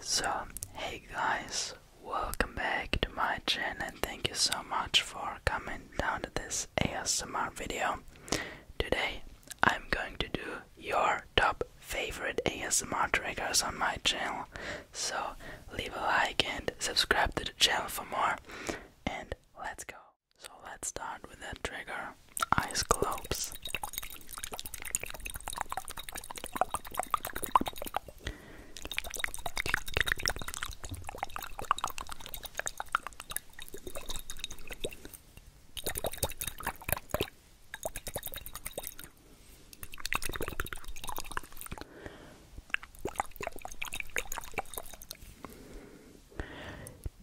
So, hey guys, welcome back to my channel and thank you so much for coming down to this ASMR video. Today, I'm going to do your top favorite ASMR triggers on my channel. So, leave a like and subscribe to the channel for more. And let's go. So let's start with that trigger ice globes.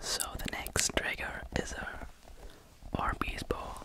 So the next trigger is a Arby's ball.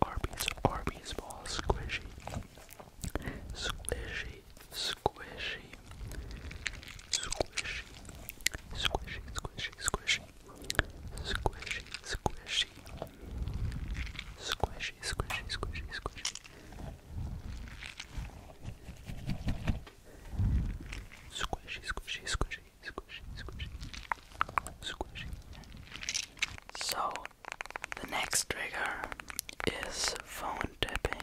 Arby's, Arby's ball, squishy, squishy, squishy, squishy, squishy, squishy, squishy, Squishy, squishy. Squishy, squishy, squishy, squishy. Squishy, squishy, squishy, squishy, squishy. Squishy. So, the next trigger is phone tapping.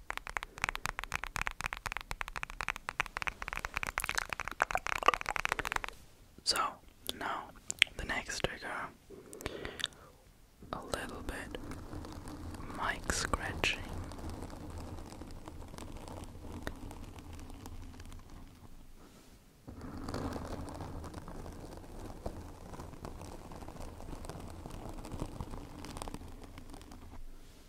So, now the next trigger a little bit mic scratching.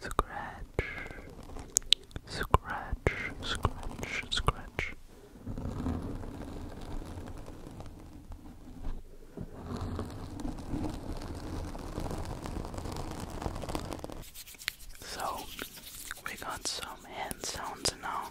Scratch, scratch, scratch, scratch. So we got some hand sounds now.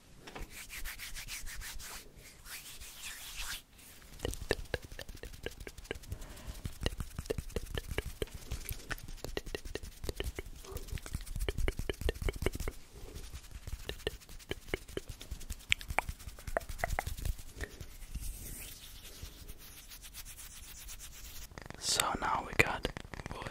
So now we got wood.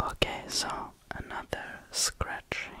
Okay, so another scratching.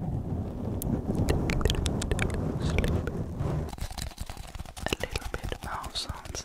A little bit of mouth sounds.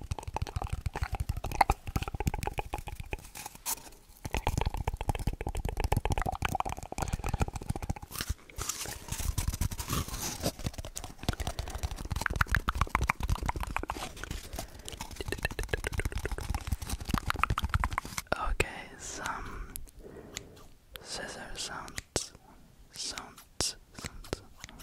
Okay, some scissor sounds, sounds, sounds.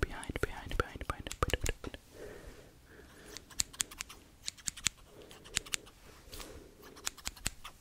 Behind, behind, behind, behind, behind.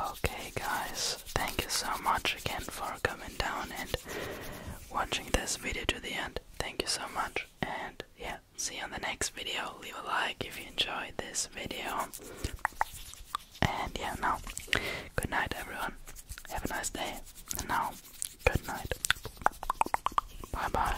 Okay, guys, thank you so much again for coming down and watching this video to the end. Thank you so much, and yeah, see you on the next video. Leave a like if you enjoyed this video. And yeah, now, good night, everyone. Have a nice day. And now, good night. Bye bye.